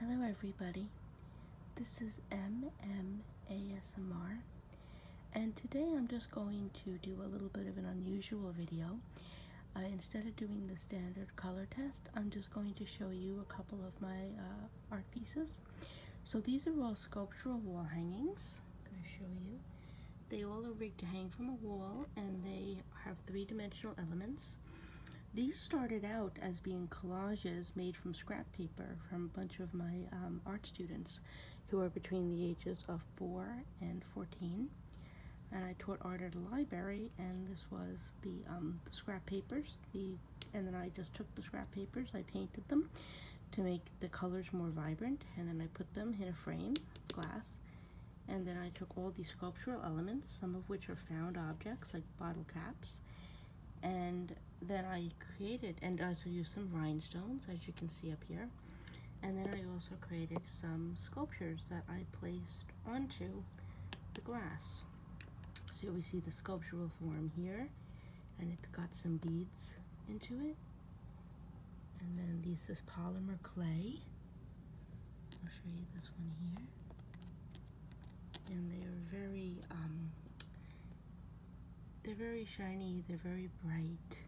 Hello, everybody. This is MMASMR, and today I'm just going to do a little bit of an unusual video. Uh, instead of doing the standard color test, I'm just going to show you a couple of my uh, art pieces. So these are all sculptural wall hangings. I'm going to show you. They all are rigged to hang from a wall, and they have three-dimensional elements. These started out as being collages made from scrap paper from a bunch of my um, art students who are between the ages of 4 and 14. And I taught art at a library, and this was the, um, the scrap papers. The, and then I just took the scrap papers, I painted them to make the colors more vibrant, and then I put them in a frame, glass, and then I took all these sculptural elements, some of which are found objects like bottle caps, and then I created, and I also used some rhinestones, as you can see up here. And then I also created some sculptures that I placed onto the glass. So we see the sculptural form here, and it got some beads into it. And then this is polymer clay. I'll show you this one here. And they are very, um, they're very shiny, they're very bright.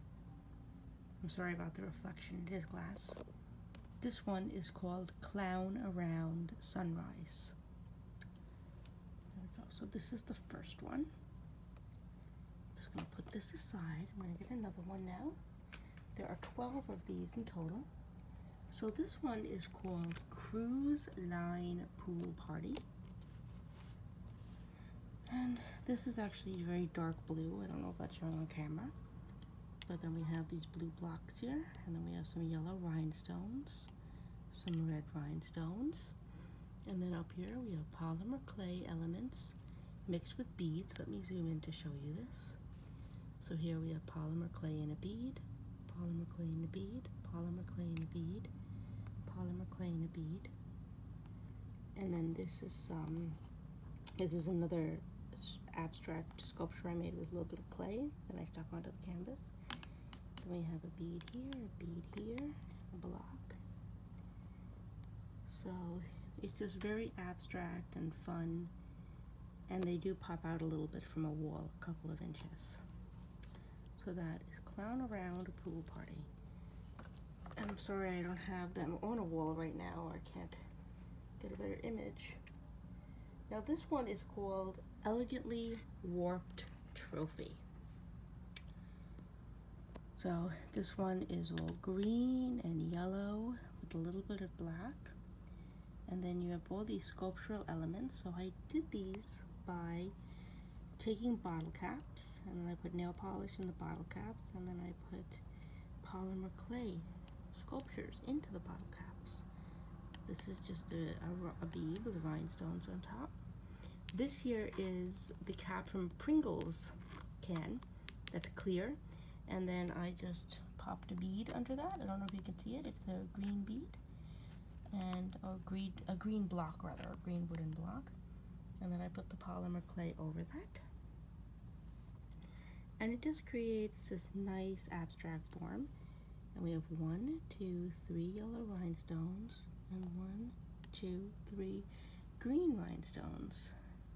I'm sorry about the reflection, it is glass. This one is called Clown Around Sunrise. There we go. So this is the first one. I'm just going to put this aside. I'm going to get another one now. There are 12 of these in total. So this one is called Cruise Line Pool Party. And this is actually very dark blue. I don't know if that's showing on camera. But then we have these blue blocks here. And then we have some yellow rhinestones. Some red rhinestones. And then up here we have polymer clay elements mixed with beads. Let me zoom in to show you this. So here we have polymer clay in a bead, polymer clay in a bead, polymer clay in a bead, polymer clay in a bead. And then this is um, this is another abstract sculpture I made with a little bit of clay that I stuck onto the canvas. Then we have a bead here, a bead here, a block. So it's just very abstract and fun and they do pop out a little bit from a wall, a couple of inches. So that is Clown Around Pool Party. I'm sorry I don't have them on a wall right now. or I can't get a better image. Now this one is called Elegantly Warped Trophy. So this one is all green and yellow with a little bit of black and then you have all these sculptural elements so I did these by taking bottle caps and then I put nail polish in the bottle caps and then I put polymer clay sculptures into the bottle caps this is just a, a, a with rhinestones on top this here is the cap from Pringles can that's clear. And then I just popped a bead under that. I don't know if you can see it. It's a green bead and a green, a green block rather, a green wooden block. And then I put the polymer clay over that. And it just creates this nice abstract form. And we have one, two, three yellow rhinestones, and one, two, three green rhinestones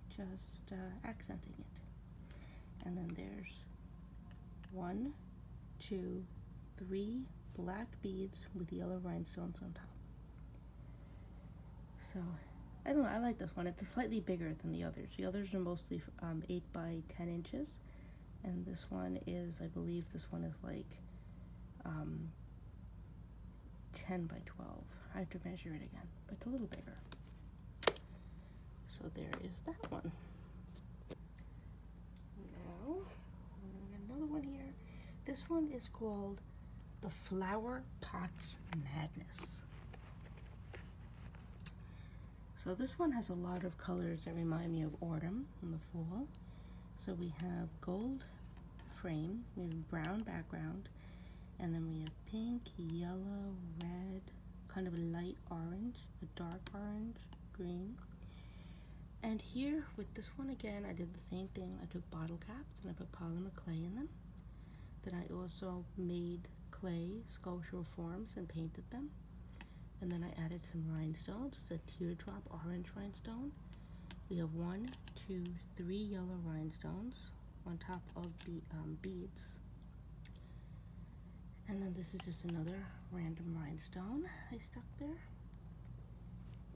just uh, accenting it. And then there's one, two, three black beads with yellow rhinestones on top. So, I don't know, I like this one. It's slightly bigger than the others. The others are mostly um, 8 by 10 inches. And this one is, I believe this one is like um, 10 by 12. I have to measure it again, but it's a little bigger. So there is that one. Now, another one here. This one is called The Flower Pots Madness. So this one has a lot of colors that remind me of autumn and the fall. So we have gold frame, we have brown background, and then we have pink, yellow, red, kind of a light orange, a dark orange, green. And here with this one again, I did the same thing. I took bottle caps and I put polymer clay in them. Then I also made clay sculptural forms and painted them. And then I added some rhinestones. It's a teardrop orange rhinestone. We have one, two, three yellow rhinestones on top of the um, beads and then this is just another random rhinestone I stuck there.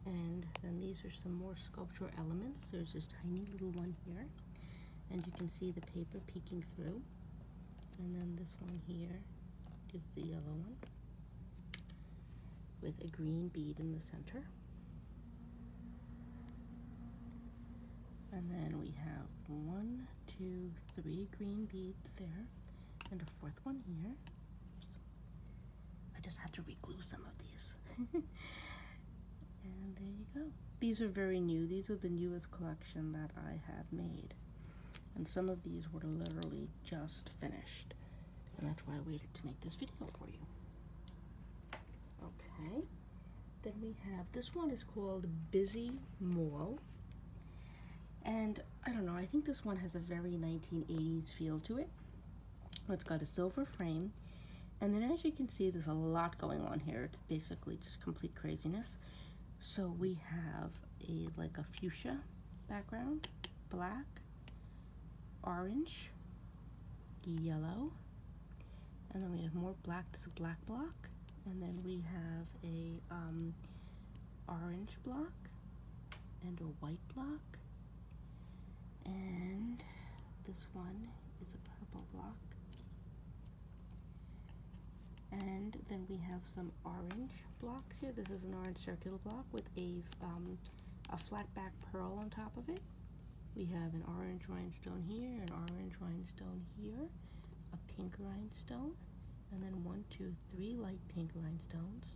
And then these are some more sculptural elements. There's this tiny little one here. And you can see the paper peeking through. And then this one here is the yellow one with a green bead in the center. And then we have one, two, three green beads there, and a fourth one here. I just have to reglue some of these. and there you go. These are very new. These are the newest collection that I have made. And some of these were literally just finished. And that's why I waited to make this video for you. Okay. Then we have, this one is called Busy Mall. And I don't know, I think this one has a very 1980s feel to it. It's got a silver frame. And then as you can see, there's a lot going on here. It's basically just complete craziness. So we have a like a fuchsia background, black, orange, yellow, and then we have more black this is black block and then we have a um, orange block and a white block and this one is a purple block and then we have some orange blocks here this is an orange circular block with a um, a flat back pearl on top of it we have an orange rhinestone here, an orange rhinestone here, a pink rhinestone, and then one, two, three light pink rhinestones.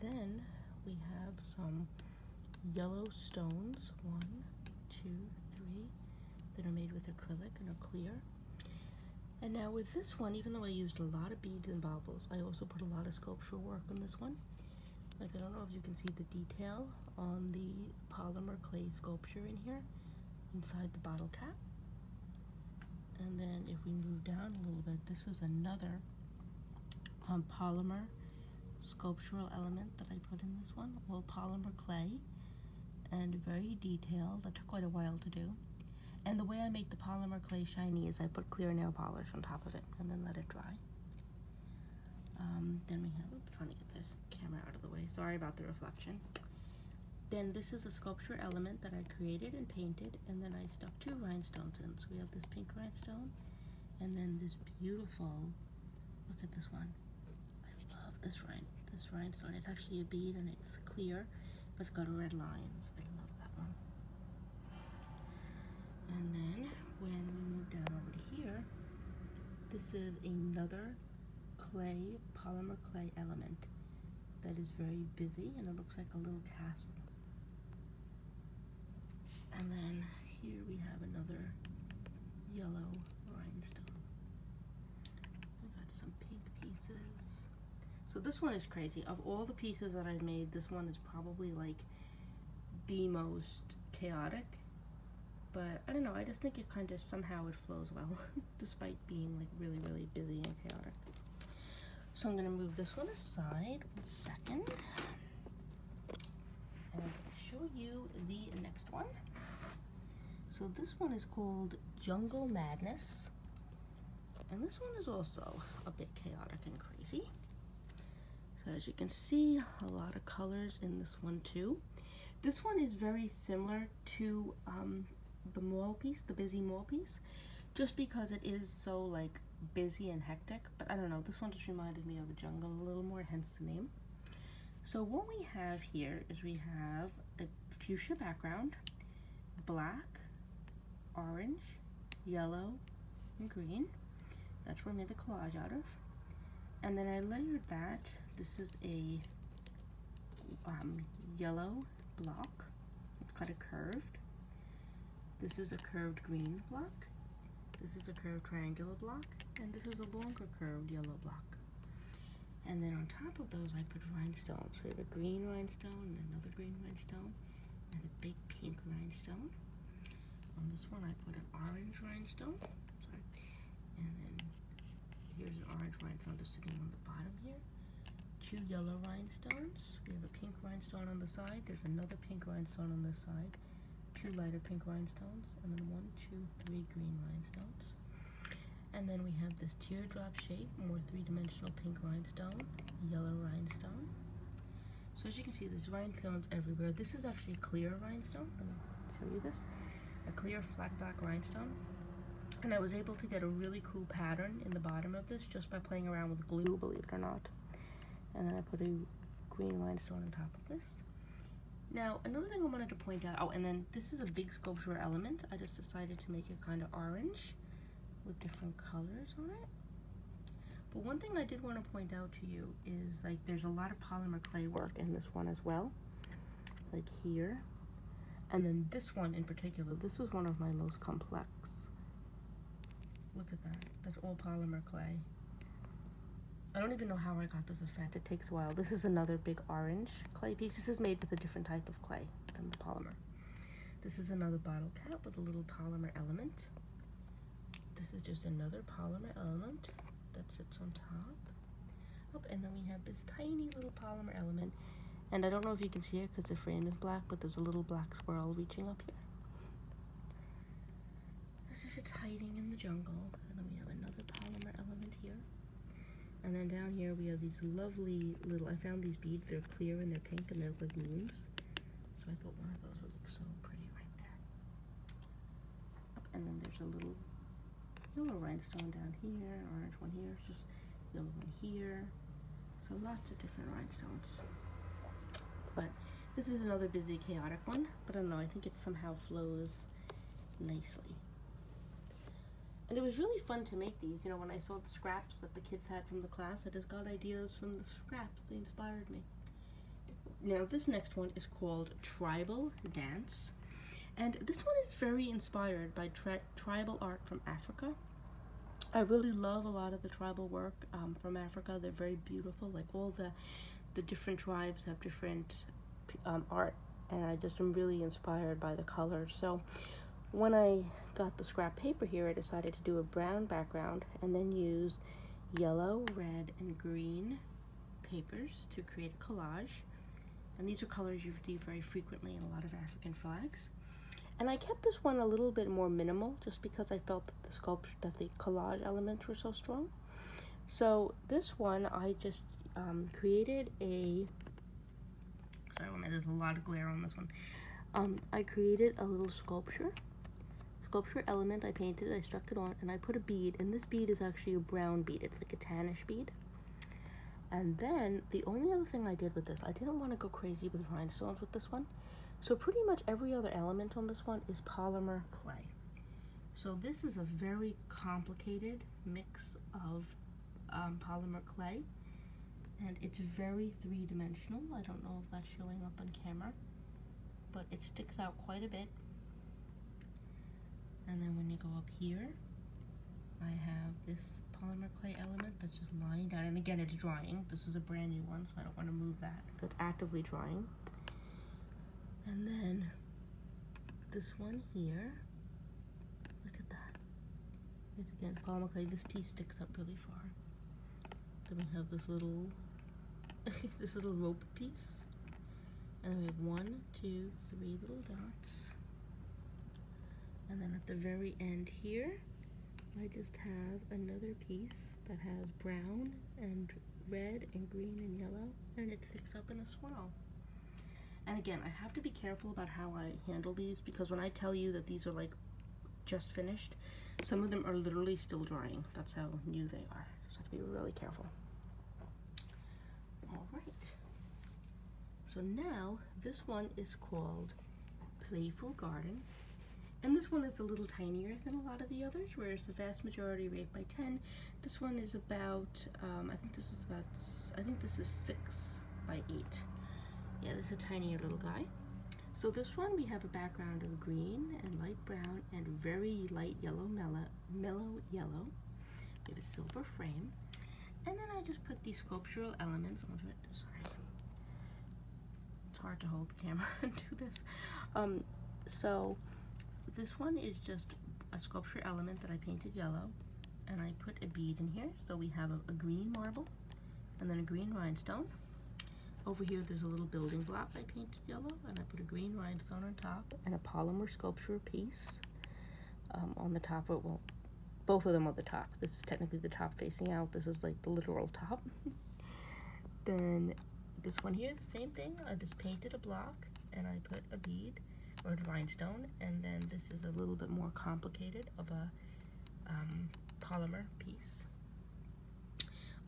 Then we have some yellow stones, one, two, three, that are made with acrylic and are clear. And now with this one, even though I used a lot of beads and baubles, I also put a lot of sculptural work on this one. Like, I don't know if you can see the detail on the polymer clay sculpture in here inside the bottle cap. And then if we move down a little bit, this is another um, polymer sculptural element that I put in this one. Well, polymer clay and very detailed. That took quite a while to do. And the way I make the polymer clay shiny is I put clear nail polish on top of it and then let it dry. Um, then we have, trying to get the camera out of the way. Sorry about the reflection. Then this is a sculpture element that I created and painted, and then I stuck two rhinestones in. So we have this pink rhinestone, and then this beautiful, look at this one. I love this, rhine, this rhinestone. It's actually a bead and it's clear, but it's got red lines. I love that one. And then when we move down over to here, this is another clay, polymer clay element that is very busy and it looks like a little castle. And then here we have another yellow rhinestone. we got some pink pieces. So this one is crazy. Of all the pieces that I have made, this one is probably like the most chaotic, but I, don't know, I just think it kind of somehow it flows well, despite being like really, really busy and chaotic. So I'm gonna move this one aside, one second. And I'm gonna show you the next one. So this one is called Jungle Madness. And this one is also a bit chaotic and crazy. So as you can see, a lot of colors in this one too. This one is very similar to um, the mall piece, the busy mall piece, just because it is so like busy and hectic. But I don't know, this one just reminded me of a jungle a little more, hence the name. So what we have here is we have a fuchsia background, black, orange, yellow, and green. That's what I made the collage out of. And then I layered that. This is a um, yellow block. It's kind of curved. This is a curved green block. This is a curved triangular block. And this is a longer curved yellow block. And then on top of those, I put rhinestones. So we have a green rhinestone, another green rhinestone, and a big pink rhinestone. On this one, I put an orange rhinestone. And then here's an orange rhinestone just sitting on the bottom here. Two yellow rhinestones. We have a pink rhinestone on the side. There's another pink rhinestone on this side. Two lighter pink rhinestones. And then one, two, three green rhinestones. And then we have this teardrop shape, more three-dimensional pink rhinestone, yellow rhinestone. So as you can see, this rhinestone everywhere. This is actually clear rhinestone. Let me show you this. A clear flat black rhinestone. And I was able to get a really cool pattern in the bottom of this just by playing around with glue, believe it or not. And then I put a green rhinestone on top of this. Now, another thing I wanted to point out, oh, and then this is a big sculptural element. I just decided to make it kind of orange with different colors on it. But one thing I did want to point out to you is like there's a lot of polymer clay work in this one as well like here and then this one in particular this was one of my most complex look at that that's all polymer clay I don't even know how I got this effect it takes a while this is another big orange clay piece this is made with a different type of clay than the polymer this is another bottle cap with a little polymer element this is just another polymer element that sits on top. Oh, and then we have this tiny little polymer element. And I don't know if you can see it because the frame is black, but there's a little black swirl reaching up here. As if it's hiding in the jungle. And then we have another polymer element here. And then down here we have these lovely little, I found these beads, they're clear and they're pink and they are like moons. So I thought one of those would look so pretty right there and then there's a little little rhinestone down here, orange one here, just yellow one here. So lots of different rhinestones. But this is another busy, chaotic one, but I don't know, I think it somehow flows nicely. And it was really fun to make these. You know, when I saw the scraps that the kids had from the class, I just got ideas from the scraps. They inspired me. Now this next one is called Tribal Dance. And this one is very inspired by tribal art from Africa. I really love a lot of the tribal work um, from Africa. They're very beautiful. Like all the, the different tribes have different um, art and I just am really inspired by the colors. So when I got the scrap paper here, I decided to do a brown background and then use yellow, red, and green papers to create a collage. And these are colors you see very frequently in a lot of African flags. And I kept this one a little bit more minimal just because I felt that the sculpture, that the collage elements were so strong. So this one I just um, created a, sorry, there's a lot of glare on this one. Um, I created a little sculpture sculpture element I painted, I struck it on, and I put a bead, and this bead is actually a brown bead. It's like a tannish bead. And then the only other thing I did with this, I didn't want to go crazy with rhinestones with this one. So pretty much every other element on this one is polymer clay. So this is a very complicated mix of um, polymer clay. And it's very three-dimensional. I don't know if that's showing up on camera, but it sticks out quite a bit. And then when you go up here, I have this polymer clay element that's just lying down. And again, it's drying. This is a brand new one, so I don't want to move that. It's actively drying. And then this one here, look at that. again polymer clay. This piece sticks up really far. Then we have this little, this little rope piece. And then we have one, two, three little dots. And then at the very end here, I just have another piece that has brown and red and green and yellow, and it sticks up in a swirl. And again, I have to be careful about how I handle these because when I tell you that these are like just finished, some of them are literally still drying. That's how new they are. Just have to be really careful. All right. So now this one is called Playful Garden. And this one is a little tinier than a lot of the others, whereas the vast majority are 8 by 10. This one is about, um, I think this is about, I think this is 6 by 8. Yeah, this is a tinier little guy. So this one, we have a background of green and light brown and very light yellow mellow, mellow yellow. We have a silver frame. And then I just put these sculptural elements onto it. Sorry. It's hard to hold the camera and do this. Um, so this one is just a sculpture element that I painted yellow. And I put a bead in here. So we have a green marble and then a green rhinestone. Over here there's a little building block I painted yellow and I put a green rhinestone on top and a polymer sculpture piece um, on the top. well, both of them on the top. This is technically the top facing out. This is like the literal top. then this one here, the same thing. I just painted a block and I put a bead or a rhinestone. And then this is a little bit more complicated of a um, polymer piece.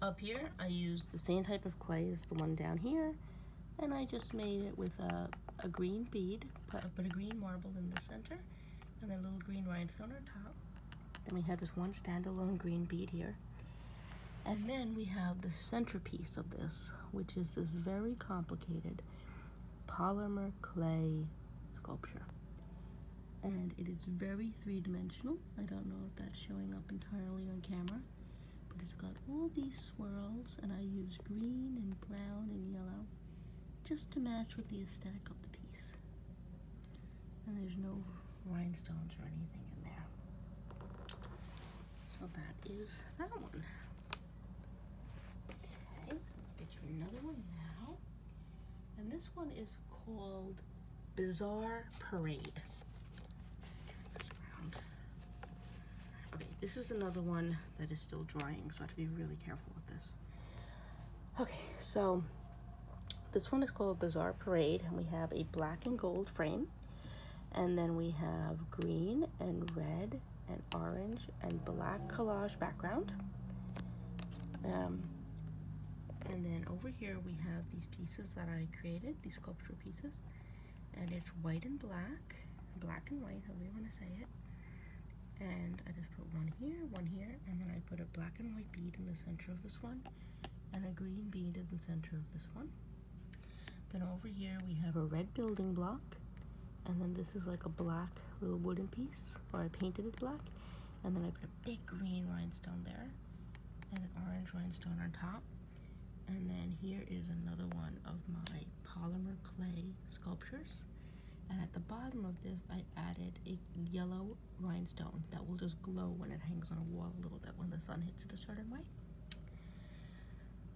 Up here, I used the same type of clay as the one down here, and I just made it with a, a green bead. Put, a green marble in the center, and a little green rhinestone on top. Then we have this one standalone green bead here. And then we have the centerpiece of this, which is this very complicated polymer clay sculpture. And it is very three-dimensional. I don't know if that's showing up entirely on camera, but it's got all these swirls, and I use green and brown and yellow just to match with the aesthetic of the piece. And there's no rhinestones or anything in there. So that is that one. Okay, get you another one now. And this one is called Bizarre Parade. Okay, this is another one that is still drying, so I have to be really careful with this. Okay, so this one is called Bizarre Parade, and we have a black and gold frame, and then we have green and red and orange and black collage background. Um, and then over here we have these pieces that I created, these sculpture pieces. And it's white and black, black and white, however you want to say it. And I just put one here, one here, and then I put a black and white bead in the center of this one, and a green bead in the center of this one. Then over here we have a red building block, and then this is like a black little wooden piece, or I painted it black, and then I put a big green rhinestone there, and an orange rhinestone on top, and then here is another one of my polymer clay sculptures. And at the bottom of this, I added a yellow rhinestone that will just glow when it hangs on a wall a little bit when the sun hits it a certain way.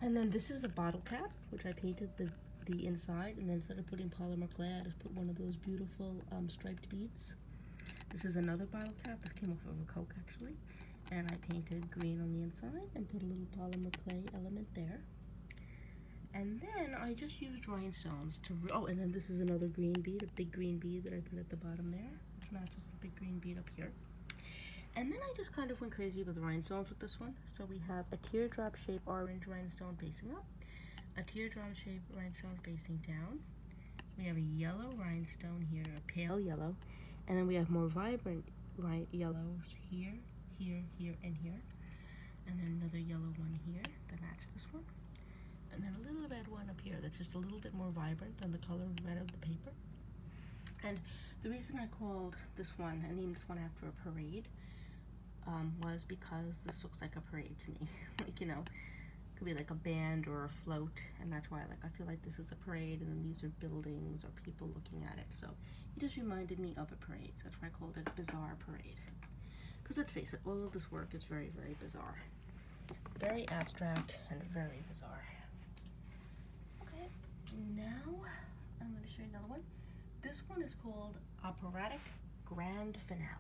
And then this is a bottle cap, which I painted the, the inside. And then instead of putting polymer clay, I just put one of those beautiful um, striped beads this. is another bottle cap. This came off of a Coke, actually. And I painted green on the inside and put a little polymer clay element there. And then I just used rhinestones to, oh, and then this is another green bead, a big green bead that I put at the bottom there, which matches the big green bead up here. And then I just kind of went crazy with rhinestones with this one. So we have a teardrop shape orange rhinestone facing up, a teardrop shape rhinestone facing down, we have a yellow rhinestone here, a pale yellow, and then we have more vibrant bright yellows here, here, here, and here. And then another yellow one here that matches this one. And then a little red one up here that's just a little bit more vibrant than the color red of the paper. And the reason I called this one, I named this one after a parade, um, was because this looks like a parade to me. like, you know, could be like a band or a float and that's why like I feel like this is a parade and then these are buildings or people looking at it so it just reminded me of a parade that's why I called it bizarre parade because let's face it all of this work is very very bizarre very abstract and very bizarre okay now I'm going to show you another one this one is called operatic grand finale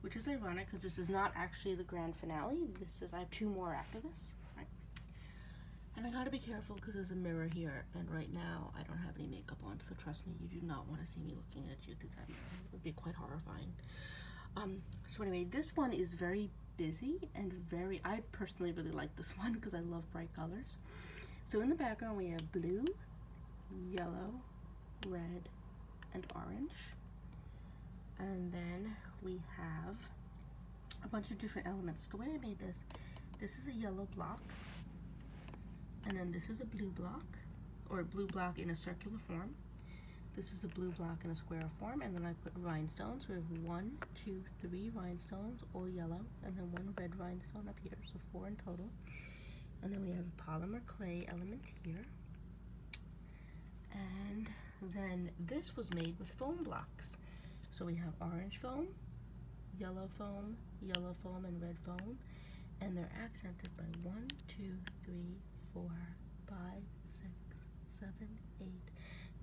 which is ironic because this is not actually the grand finale. This is, I have two more after this. Sorry. And I gotta be careful because there's a mirror here, and right now I don't have any makeup on, so trust me, you do not want to see me looking at you through that mirror. It would be quite horrifying. Um, so anyway, this one is very busy and very, I personally really like this one because I love bright colors. So in the background we have blue, yellow, red, and orange. And then we have a bunch of different elements. The way I made this, this is a yellow block, and then this is a blue block, or a blue block in a circular form. This is a blue block in a square form, and then I put rhinestones. We have one, two, three rhinestones, all yellow, and then one red rhinestone up here, so four in total. And then we have a polymer clay element here. And then this was made with foam blocks. So we have orange foam, yellow foam, yellow foam, and red foam. And they're accented by one, two, three, four, five, six, seven, eight,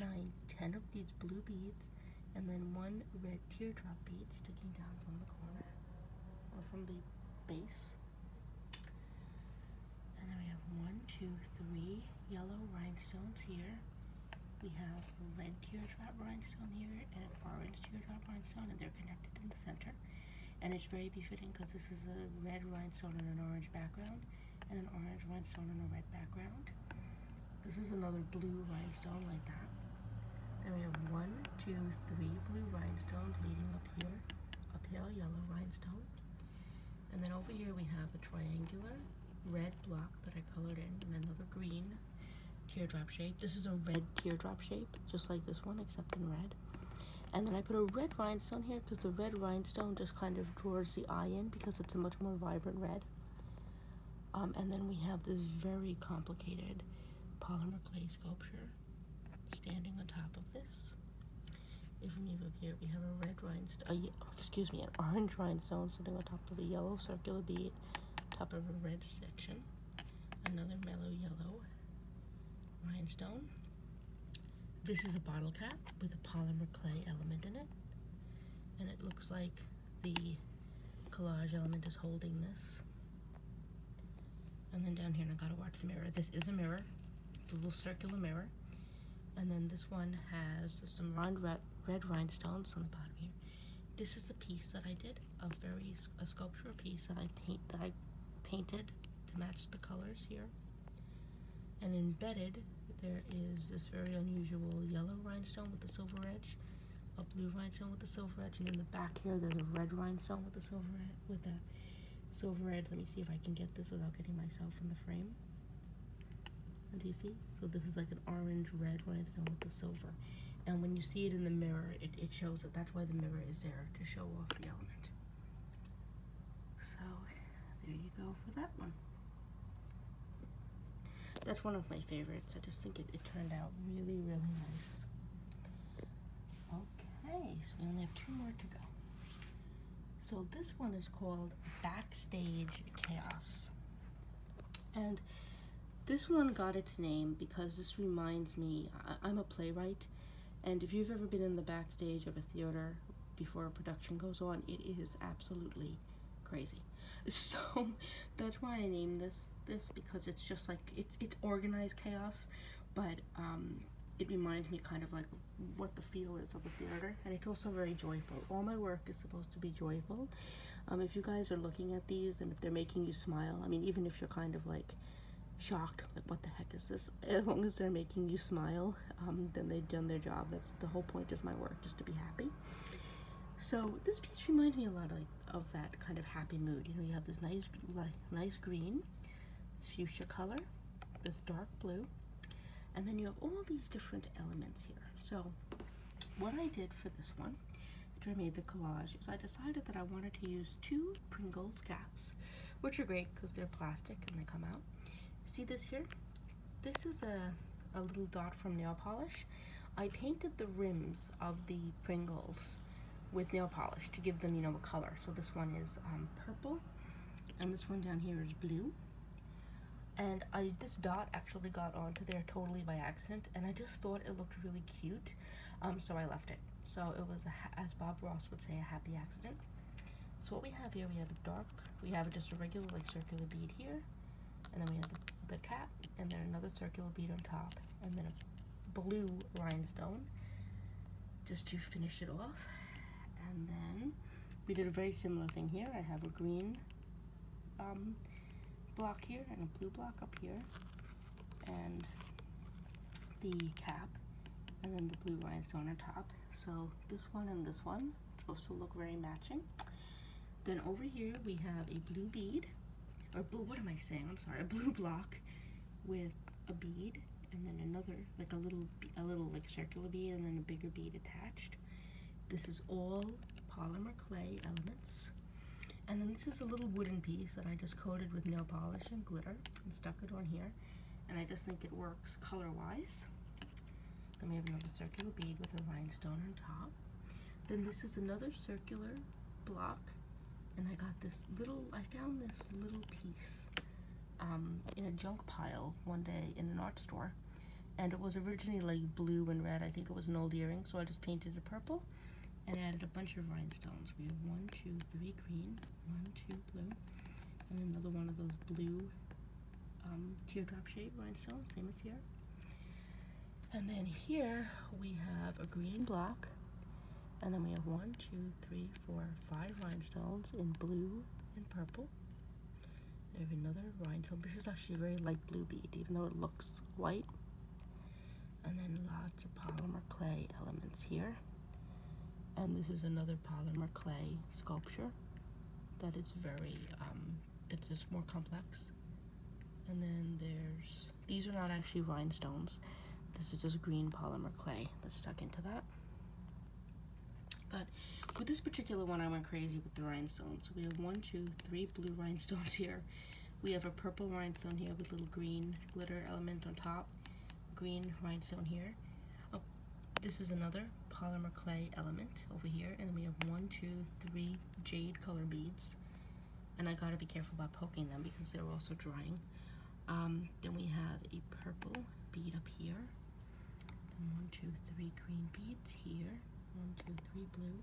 nine, ten of these blue beads, and then one red teardrop bead sticking down from the corner, or from the base. And then we have one, two, three yellow rhinestones here. We have a red teardrop rhinestone here and an orange teardrop rhinestone, and they're connected in the center. And it's very befitting because this is a red rhinestone and an orange background, and an orange rhinestone and a red background. This is another blue rhinestone like that. Then we have one, two, three blue rhinestones leading up here, A pale yellow rhinestone. And then over here we have a triangular red block that I colored in and another green teardrop shape. This is a red teardrop shape, just like this one, except in red. And then I put a red rhinestone here because the red rhinestone just kind of draws the eye in because it's a much more vibrant red. Um, and then we have this very complicated polymer clay sculpture standing on top of this. If you move up here, we have a red rhinestone, excuse me, an orange rhinestone sitting on top of a yellow circular bead, top of a red section, another mellow yellow rhinestone. This is a bottle cap with a polymer clay element in it, and it looks like the collage element is holding this. And then down here, and I gotta watch the mirror. This is a mirror, the little circular mirror. And then this one has some round red, red rhinestones on the bottom here. This is a piece that I did, a very a sculpture piece that I paint that I painted to match the colors here. And embedded, there is this very unusual yellow rhinestone with a silver edge, a blue rhinestone with a silver edge, and in the back here, there's a red rhinestone with a silver with a it's overhead. Let me see if I can get this without getting myself in the frame. Do you see? So this is like an orange-red rhinestone with the silver. And when you see it in the mirror, it, it shows that that's why the mirror is there, to show off the element. So there you go for that one. That's one of my favorites. I just think it, it turned out really, really nice. Oh, Okay, so we only have two more to go. So this one is called Backstage Chaos. And this one got its name because this reminds me, I, am a playwright, and if you've ever been in the backstage of a theater before a production goes on, it is absolutely crazy. So that's why I name this this because it's just like it's it's organized chaos, but um, it reminds me kind of like what the feel is of the theater and it's also very joyful all my work is supposed to be joyful um, if you guys are looking at these and if they're making you smile i mean even if you're kind of like shocked like what the heck is this as long as they're making you smile um, then they've done their job that's the whole point of my work just to be happy so this piece reminds me a lot of, like, of that kind of happy mood you know you have this nice like nice green fuchsia color this dark blue and then you have all these different elements here so what I did for this one after I made the collage is I decided that I wanted to use two Pringles caps which are great because they're plastic and they come out see this here this is a, a little dot from nail polish I painted the rims of the Pringles with nail polish to give them, you know, a color. So this one is um, purple, and this one down here is blue. And I this dot actually got onto there totally by accident, and I just thought it looked really cute, um, so I left it. So it was, as Bob Ross would say, a happy accident. So what we have here, we have a dark, we have just a regular like circular bead here, and then we have the cap, and then another circular bead on top, and then a blue rhinestone just to finish it off. And then we did a very similar thing here. I have a green um, block here and a blue block up here and the cap and then the blue rhinestone on top. So this one and this one supposed to look very matching. Then over here we have a blue bead or blue, what am I saying? I'm sorry, a blue block with a bead and then another like a little a little like circular bead and then a bigger bead attached this is all polymer clay elements and then this is a little wooden piece that I just coated with nail polish and glitter and stuck it on here and I just think it works color wise then we have another circular bead with a rhinestone on top then this is another circular block and I got this little I found this little piece um, in a junk pile one day in an art store. And it was originally like blue and red. I think it was an old earring, so I just painted it purple and added a bunch of rhinestones. We have one, two, three green, one, two blue, and another one of those blue um, teardrop shaped rhinestones, same as here. And then here we have a green block, and then we have one, two, three, four, five rhinestones in blue and purple. We have another rhinestone. This is actually a very light blue bead, even though it looks white. And then lots of polymer clay elements here. And this is another polymer clay sculpture that is very, um, that is more complex. And then there's, these are not actually rhinestones. This is just green polymer clay that's stuck into that. But with this particular one, I went crazy with the rhinestones. We have one, two, three blue rhinestones here. We have a purple rhinestone here with little green glitter element on top. Green rhinestone here. Oh, this is another polymer clay element over here. And then we have one, two, three jade color beads. And I gotta be careful about poking them because they're also drying. Um, then we have a purple bead up here. And one, two, three green beads here. One, two, three blue.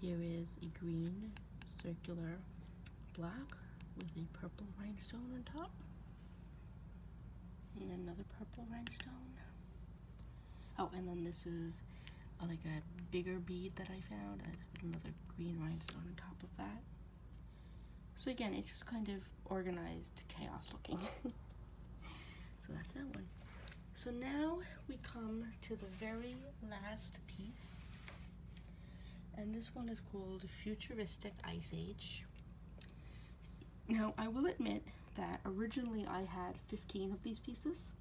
Here is a green circular black with a purple rhinestone on top. And another purple rhinestone. Oh, and then this is uh, like a bigger bead that I found. another green rhinestone on top of that. So again, it's just kind of organized chaos looking. so that's that one. So now we come to the very last piece. And this one is called Futuristic Ice Age. Now, I will admit that originally I had 15 of these pieces.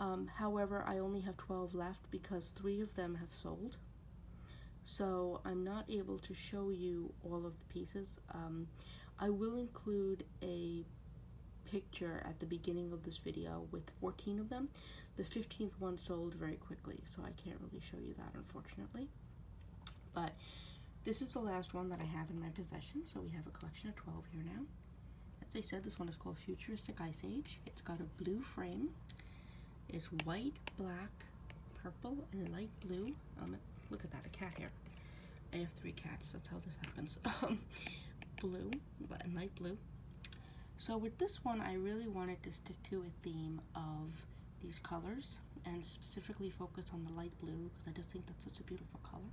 Um, however, I only have 12 left because three of them have sold. So I'm not able to show you all of the pieces. Um, I will include a picture at the beginning of this video with 14 of them. The 15th one sold very quickly, so I can't really show you that unfortunately. But this is the last one that I have in my possession, so we have a collection of 12 here now. As I said, this one is called Futuristic Ice Age. It's got a blue frame is white, black, purple, and light blue. Um, look at that, a cat here. I have three cats, that's how this happens. Um, blue, and light blue. So with this one, I really wanted to stick to a theme of these colors and specifically focus on the light blue because I just think that's such a beautiful color.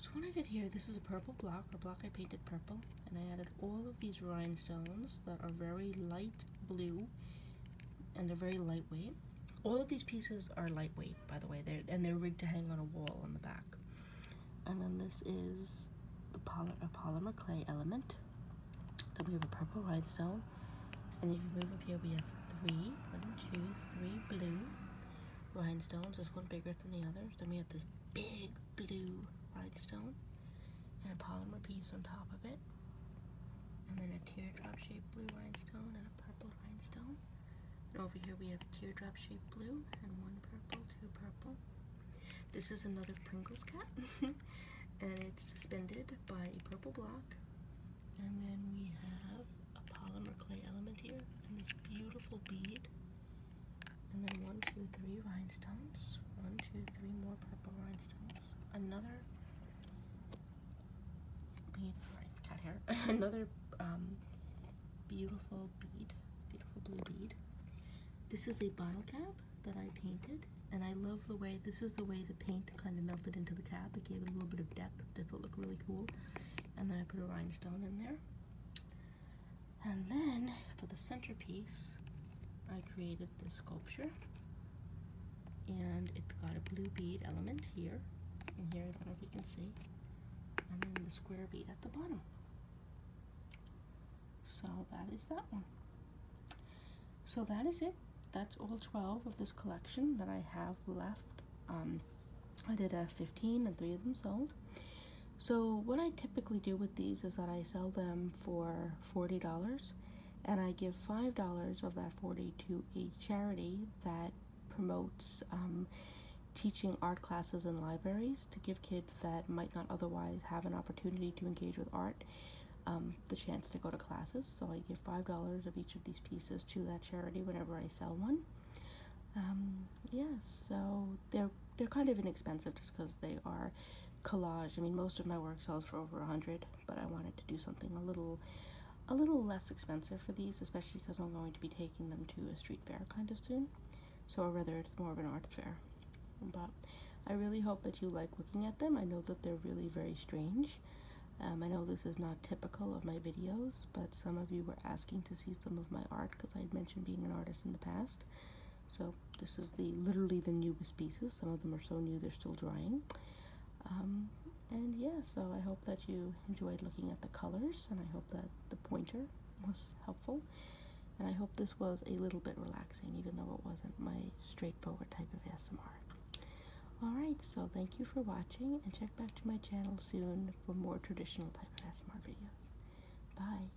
So when I did here, this is a purple block, a block I painted purple, and I added all of these rhinestones that are very light blue and they're very lightweight. All of these pieces are lightweight, by the way, they're, and they're rigged to hang on a wall on the back. And then this is the polymer clay element. Then we have a purple rhinestone. And if you move up here, we have three, one, two, three blue rhinestones. There's one bigger than the others. Then we have this big blue rhinestone and a polymer piece on top of it. And then a teardrop shaped blue rhinestone and a purple rhinestone. And over here we have teardrop shaped blue and one purple, two purple. This is another Pringles cap. and it's suspended by a purple block. And then we have a polymer clay element here and this beautiful bead and then one, two, three rhinestones. One, two, three more purple rhinestones. Another sorry, cat hair. Another um, beautiful bead, beautiful blue bead. This is a bottle cap that I painted, and I love the way, this is the way the paint kind of melted into the cap. It gave it a little bit of depth, it looked really cool. And then I put a rhinestone in there. And then for the centerpiece, I created this sculpture and it got a blue bead element here and here, I don't know if you can see, and then the square bead at the bottom. So that is that one. So that is it. That's all 12 of this collection that I have left. Um, I did a uh, 15 and three of them sold. So what I typically do with these is that I sell them for $40 and I give $5 of that 40 to a charity that promotes um, teaching art classes in libraries to give kids that might not otherwise have an opportunity to engage with art um, the chance to go to classes. So I give $5 of each of these pieces to that charity whenever I sell one. Um, yes, so they're they're kind of inexpensive just because they are collage. I mean, most of my work sells for over a hundred, but I wanted to do something a little a little less expensive for these, especially because I'm going to be taking them to a street fair kind of soon. So, rather, it's more of an art fair. But I really hope that you like looking at them. I know that they're really very strange. Um, I know this is not typical of my videos, but some of you were asking to see some of my art because I had mentioned being an artist in the past. So this is the literally the newest pieces. Some of them are so new they're still drying. Um, and yeah, so I hope that you enjoyed looking at the colors, and I hope that the pointer was helpful. And I hope this was a little bit relaxing, even though it wasn't my straightforward type of ASMR. Alright, so thank you for watching, and check back to my channel soon for more traditional type of ASMR videos. Bye!